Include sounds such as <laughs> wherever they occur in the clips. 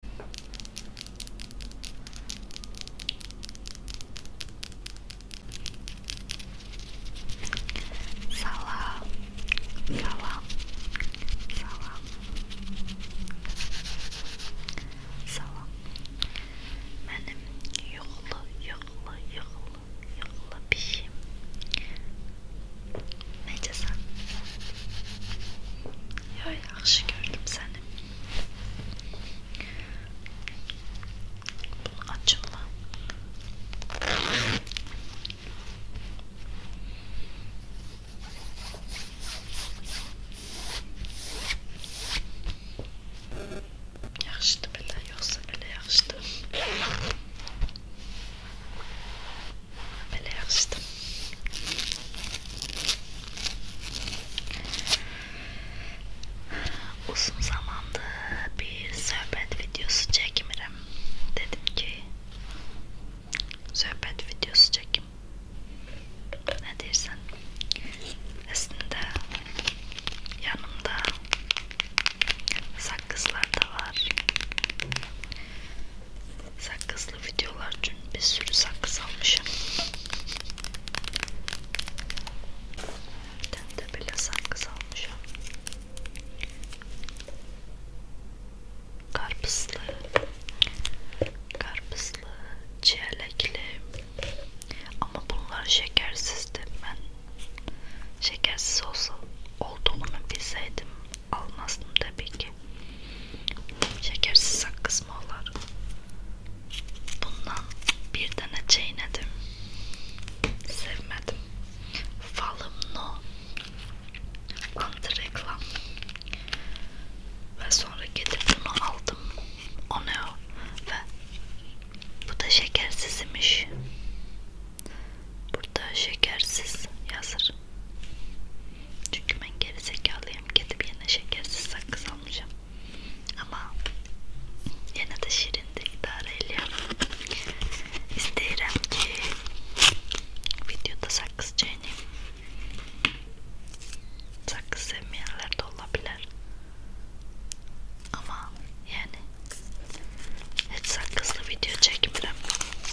Salam, salam, salam, salam. Benim yığlı, yığlı, yığlı, yığlı pişim. Necəsən? Ya yaxşı gördüm seni. Bu açılma. Yaxşıdır belə, yoxsa belə yaxşıdır. Belerst. Uzun zamanda bir sohbet videosu çekmirim. Dedim ki sohbet videosu çekim. Ne dersen? Aslında yanımda sakızlar da var. Sakkızlı videolar için bir sürü sakkız almışım. Ben de bile sakkız almışım. Karpuzlu, karpuzlu, çilekli. Ama bunlar şekersizdi. Ben şekersiz olsa olduğunu bilseydim almazdım tabii ki. Şekersiz sakız mı olur? Bundan bir tane çiğnedim. Sevmedim. Falım no. Antireklam. Ve sonra gidip bunu aldım. O ne o? Ve bu da şekersiz imiş. Burada şekersiz yazır. Çünkü ben geri zekalıyım. Gidip yine şekersiz sakız alacağım. Ama yine de şirinde idare ediyorum. İsterim ki videoda sakız çiğneyim. Sakız sevmeyenler de olabilir. Ama yani hiç sakızlı video çekmiyorum.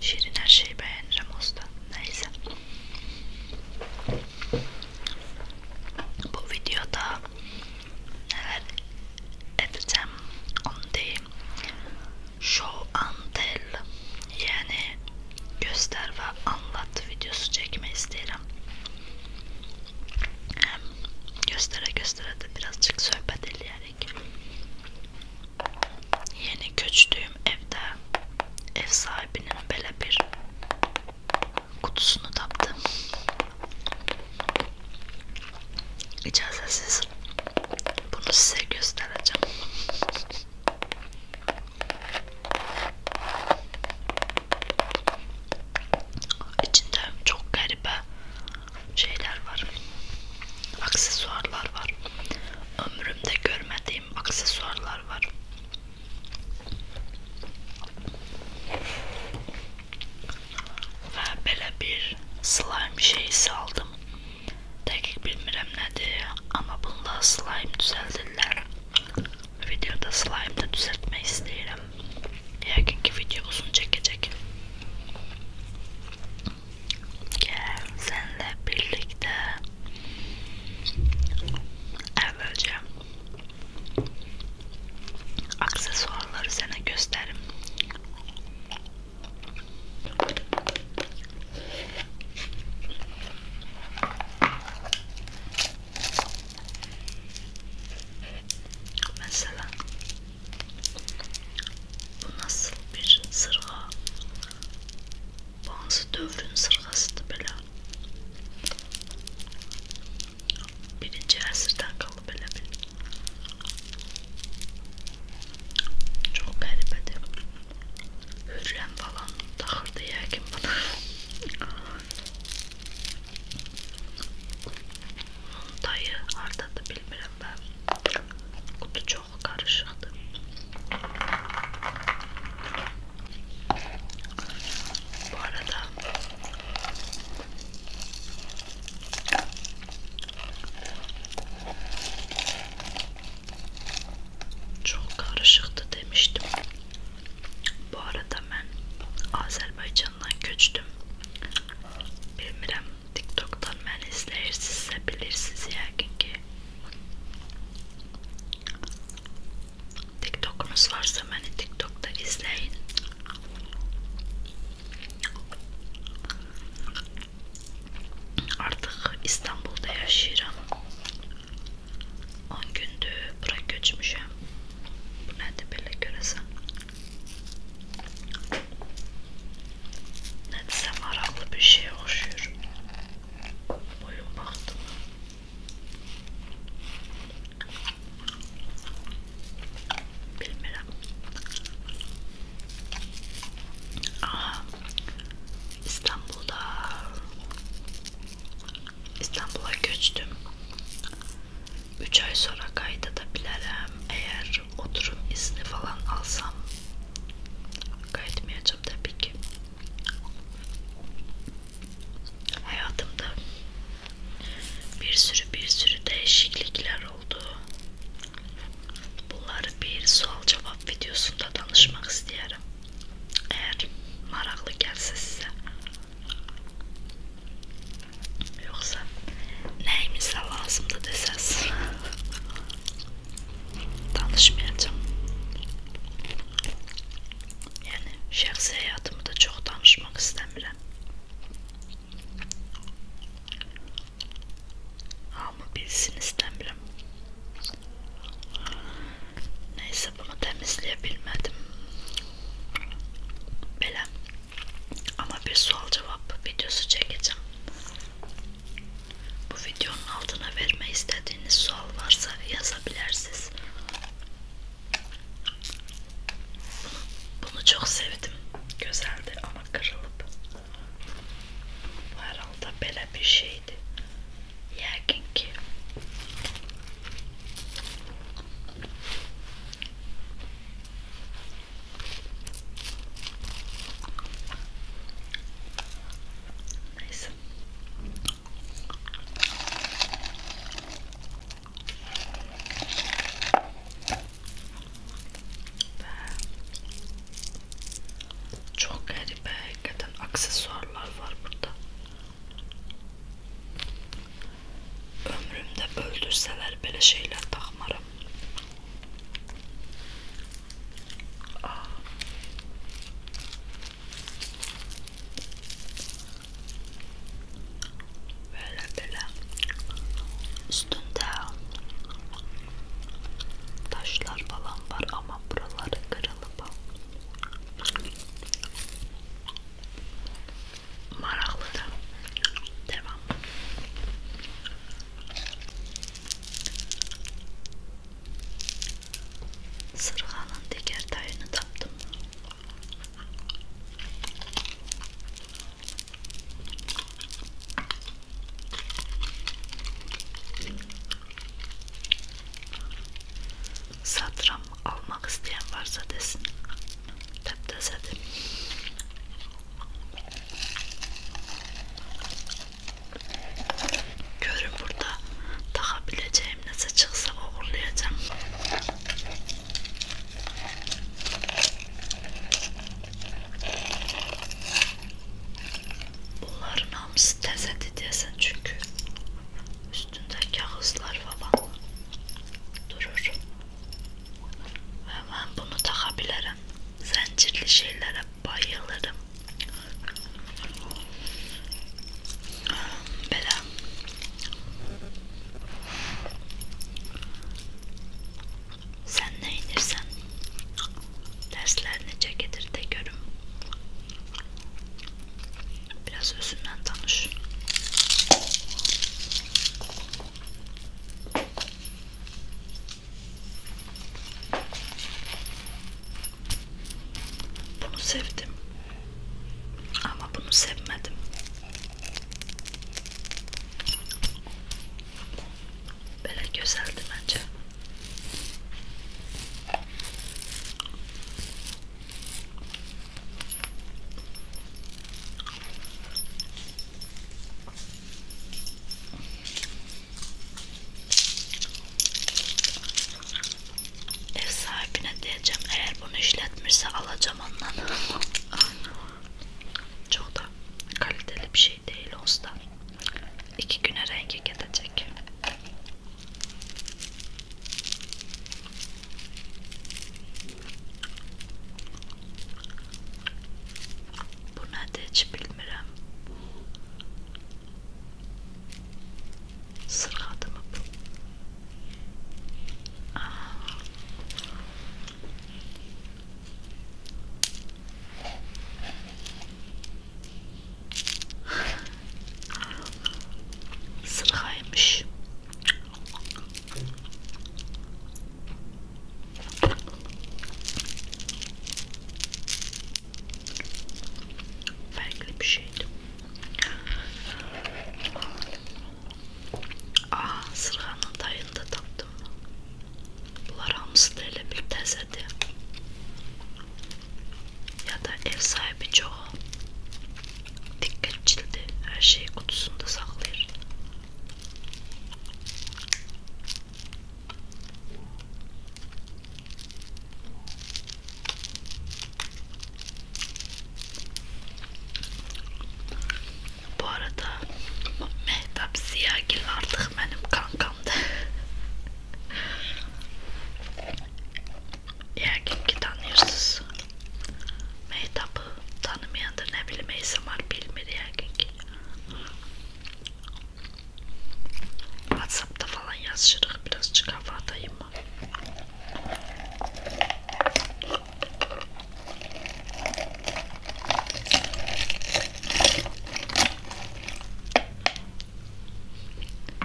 Şirin her şeyi beğenir ama usta. Neyse. Bu videoda neler edeceğim onu diyeyim. Show and tell yani göster ve anlat videosu çekmeyi isterim. Hem göstere göstere de birazcık sohbet edilerek Yeni göçtüğüm evde ev sahibinin böyle bir kutusunu taptım. İcazetsiz bunu size göstereceğim. İçinde çok garibe şeyler var. Aksesuarlar var ömrümde görmediğim aksesuarlar var. Ve böyle bir slime şeysi aldım. Dəqiq bilmirəm nədir, amma bununla slime düzəldirlər. Videoda slime də düzəltmək istəyirəm. Yəqin ki, video uzun çəkəcək. Gel seninle birlikte evvelce aksesuarları sana gösterim. Mesela bu nasıl bir sırğa? Bazı dövrün sırğasıdır belə. Birinci əsrdən qalı belə bir. Çox qəribədir. Hürrəm falan taxırdı yəqin buna. Bunun dayı hardadır bilmirəm ben. Kutu çok karışıktı. Bu arada çok karışıktı demiştim. Bu arada ben Azerbaycan'dan göçtüm. Bilmirəm TikTok'tan ben izler siz de bilirsiniz yani ki TikTok'unuz varsa beni TikTok'ta izleyin. Artık İstanbul'da yaşıyorum. 10 gündür bura göçmüşüm. Bu nedir böyle göresen. Ne desem araklı bir şeye okşuyor. Boyun baktım. Bilmiyorum. Aha. İstanbul'da İstanbul'a göçtüm. 3 ay sonra kayda da bilerim. Eğer oturum izni falan alsam Kaydetmeyeceğim tabii ki. Hayatımda bir sürü bir sürü değişiklikler oldu. Bunları bir sual cevap videosunda danışmak isterim. Eğer maraklı gelse size. Yoksa neyimize lazımdı deseniz. <laughs> Danışmayacağım. Yani şahsi hayatımı da çok danışmak istemiyorum. Ama bilsin istemiyorum. Neyse bunu temizleyebilmedim. Belem. Ama bir sual cevap videosu çekeceğim. Bu videonun altına verme istediğiniz sual varsa yazabilirsiniz. Bunu, bunu çok sevdim. Güzeldi ama kırılıp. Bu herhalde böyle bir şeydi. Yakin ki. Nice. Və çox qəribə, həqiqətən aksesuarlar var burada. Ömrümdə öldürsələr belə şeylər taxmaram. Böyle böyle üstünde taşlar falan var ama buraları kırılıp maraklı da devam Sırğanın digər tayını tapdım. Satram almaq istəyən varsa desin. Təptəsədir. Görün burada taxa biləcəyim nəsə çıxsa uğurlayacağım. Bunların hamısı təzədir deyəsən çünki üstündə kağızlar falan durur. Və mən bunu taxa bilərəm. Zincirli şeylere bayılırım. Böyle sen ne inirsen derslerini çekilir de görüm. Biraz özünden tanış. Bunu sevdim. Ama bunu sevmedim. Böyle güzeldi bence. Ev sahibine diyeceğim eğer bunu işletmişse alacağım ondan. <laughs> Çok da kaliteli bir şey değil usta. İki güne rengi gidecek. Buna da hiç bilmirəm. Sıradı mı bu? Aa. <laughs> Sıraymış. Farklı bir şeydi. Aha sırhanın dayını da taptım. Bunlar hamsıdayla bir tezedi. Ya da ev sahibi çoğu dikkatçildi. Her şeyi kutusunda saklayır. Bu arada Mehtap Ziyagil artık benim kankamdı. Eğer <laughs> kim ki tanıyorsunuz Mehtap'ı tanımayan olmayan da ne bileyim ASMR bilmir yani ki. Whatsapp'ta falan yazışırıq birazcık hava atayım mı?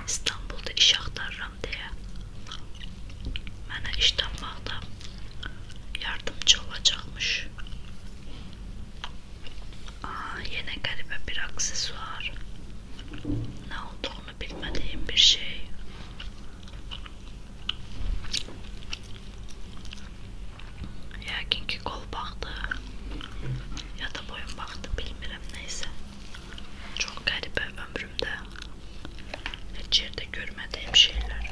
İstanbul'da iş axtarıram deyə mənə iş tapmaqda yardımcı olacakmış. Aa, yine garibe bir aksesuar. Ne olduğunu bilmediğim bir şey. Yakin ki kol baktı ya da boyun baktı bilmirəm neyse. Çok garibə ömrümdə heç yerdə görmədiyim şeyler.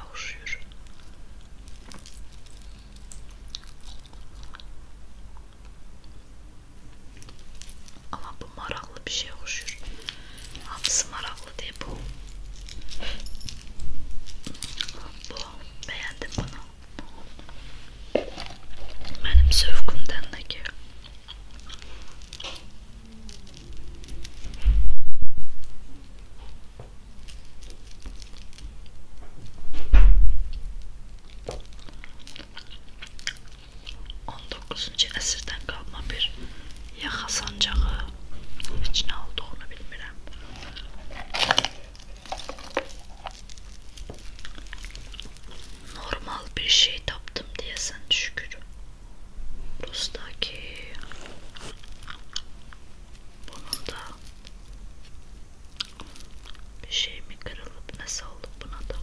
yavşıyor. Ama bu maraklı bir şey hoşur. Hamısı maraklı değil bu. Bu beğendim bunu. Benim zövkümden de ki 19-cu əsrdən qalma bir yaxa sancağı heç nə olduğunu bilmirəm. Normal bir şey tapdım deyəsən şükür. Burasındaki bunun da bir şey mi kırılıp nasıl oldu buna da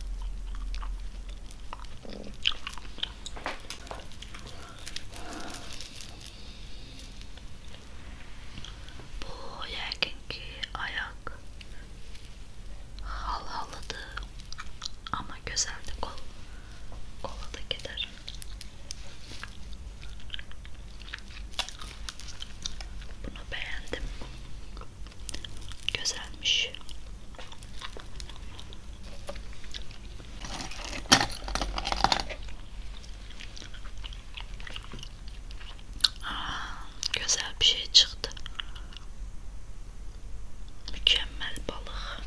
bu yerkenki ayak hal haladı ama güzeldi kol kola da gider bunu beğendim. Güzelmiş. Aa, güzel bir şey çıktı. Mükemmel balık.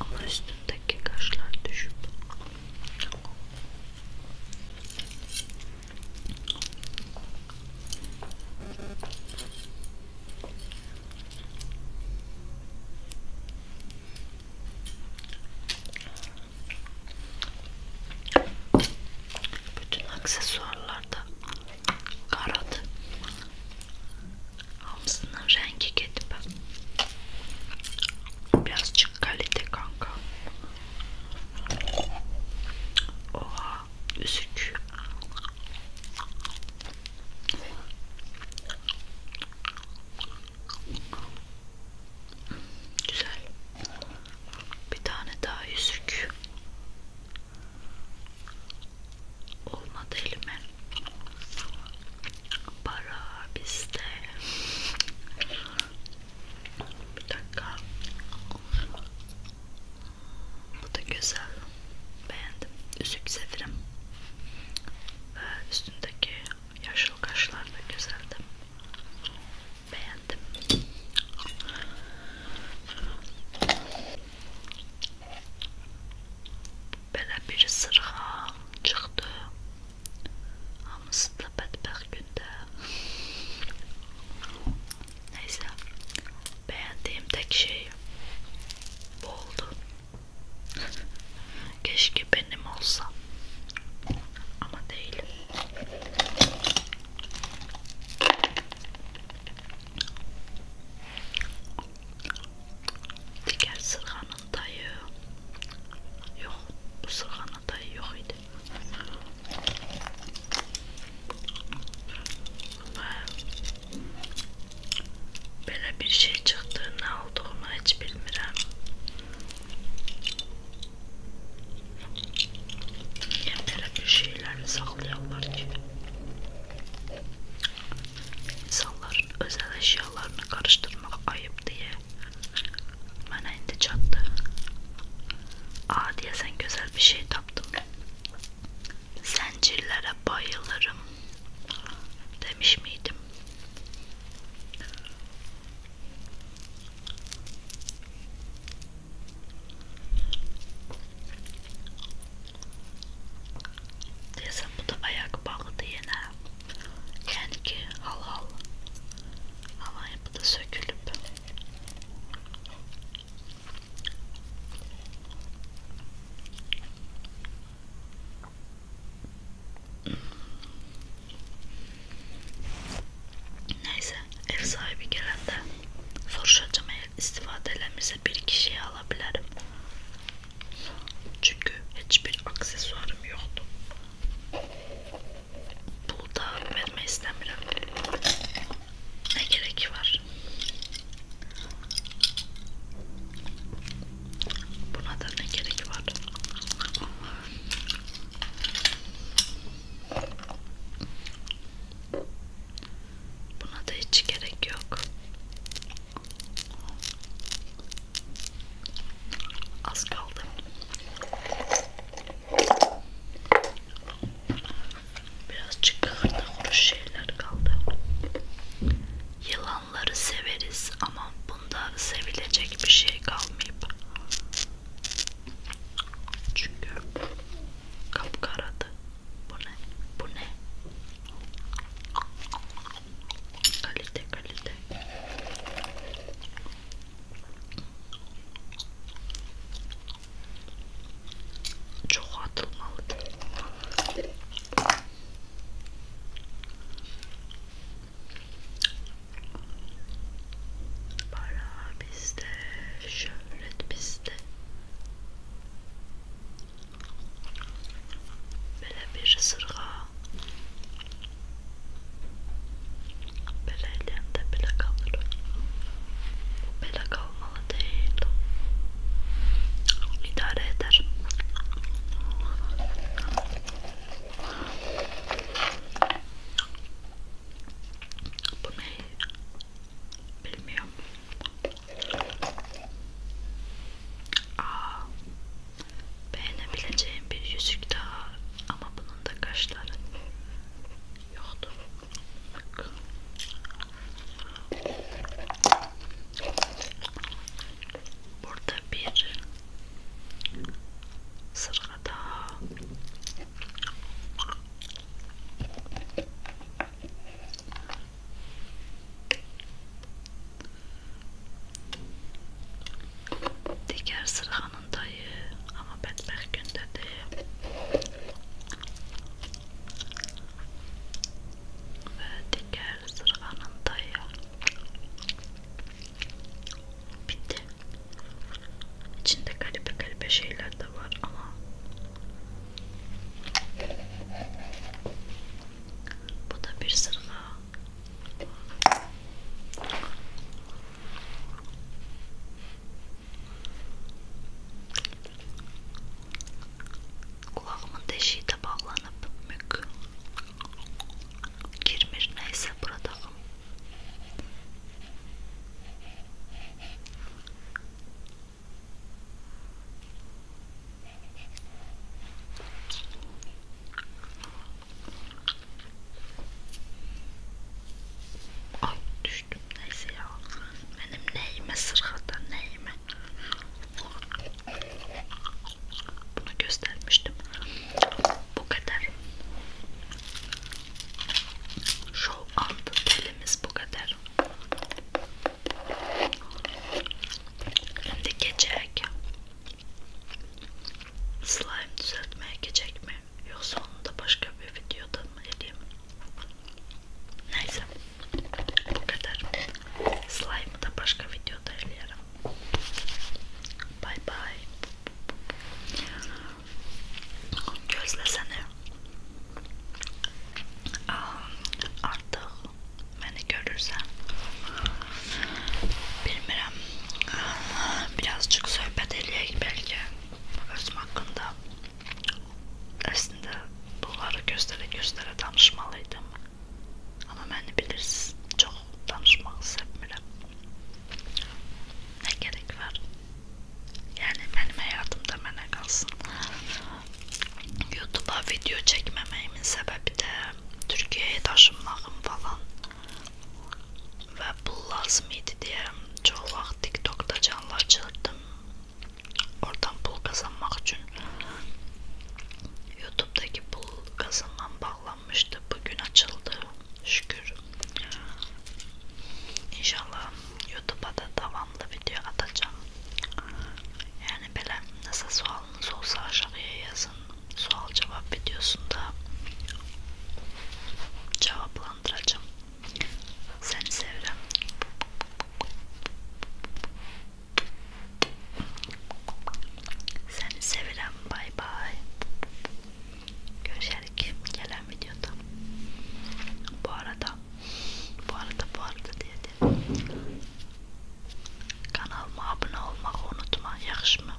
Ama üstündeki kaşlar düşüp bütün aksesuarlarda Karadı. Hamsının rengi gidip birazcık kalite kanka. Oha üzük. Güzel. Bir tane daha yüzük. Olmadı elime. Para bizde. Bir dakika. Bu da güzel. Beğendim. Üzük severim. Ve üstündeki yaşlı kaşlar da güzeldi. Beğendim. Belə bir sırğa çıxdı. Hamısı da bədbəxt gündə. Neyse, beğendiğim tek şey bu oldu. <laughs> Keşke benim olsa. Ama değil. Digər sırğanın dayı. Yox, bu sırğanın dayı yox idi. Belə bir şey çıxdı, nə olduğunu heç bilmirəm. Yemlere bir şeylerini saklayanlar gibi. İnsanların özel eşyalarını karıştırmak ayıp diye bana indi çattı. Aa diye sen güzel bir şey taptım. Zincirlere bayılırım demiş miydim? Desem bu da ayak bağladı yine. Yani ki hal hal. Ama bu da sökülüp. Neyse Ev sahibi gelende soruşacağım eğer istifadelerimize bir kişiyi alabilirim. Çünkü hiçbir aksesuarım yoktu. Bu da verme istemiyorum. Ne gerek var? Buna da ne gerek var? Buna da hiç gerek yok. Az kaldı. Birazcık kıhırda kuru şeyler kaldı. Yılanları severiz ama bunda sevilecek bir şey kalmayıp çünkü Kapkaradı. Bu ne? Bu ne? Kalite kalite. Çok atılmalıydı. Para bizde şöyle öğret bizde. Böyle bir sırga. Böyle elinde bile kalır. Böyle kalmalı değil. İdare eder. Bu ne? Bilmiyorum. Aa, beğenebileceğim bir yüzük daha ama bunun da kaşları yoktu. Burada bir sırada Digər sırğanın dayı, amma bədbəxt gündədir. Və digər sırğanın dayı. Bitti. İçində qəribə-qəribə şeylər də var, amma bu da bir sırğa. Qulağımın deşiyi də bağlanıb, mük girmir, nəysə buradağım. Ay düştüm neyse ya benim neyime sırada neyime bunu göstermiştim bu kadar Show up bölümümüz bu kadar. Şimdi geçecek. Slime düzeltmeye geçecek mi? Yoksa onu da başka bir videoda mı edeyim? Neyse. Bu kadar. Slime'ı da başka videoda eleyelim. Bye bye. Gözlesene. Ah, artık beni görürsen bilmirəm birazcık söhbət eləyək belki özüm haqqında əslində bunları göstərə-göstərə danışmalıydım amma məni bilirsiniz çox danışmağı sevmirəm nə gerek var yani benim hayatımda bana kalsın. YouTube'a video çekmememin sebebi de Türkiye'ye taşınmağım falan. Ve bu lazım idi diye çok vaxt TikTok'ta canlı açıldım. Oradan pul kazanmak için YouTube'daki pul kazanmam bağlanmıştı. Bugün açıldı şükür. İnşallah YouTube'a da devamlı video atacağım. Yani böyle nasıl sualınız olsa aşağıya yazın. Sual cevap videosunda cevaplandıracağım. Seni severim. Seni severim. Bay bay. Görüşerik gelen videoda. Bu arada, bu arada, bu arada diye de kanalıma abone olmağı unutma, yaxşı mı?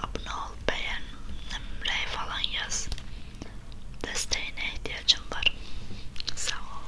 Abone ol, beğen, nömrəyi falan yaz. Desteğine ihtiyacım var. Sağ ol.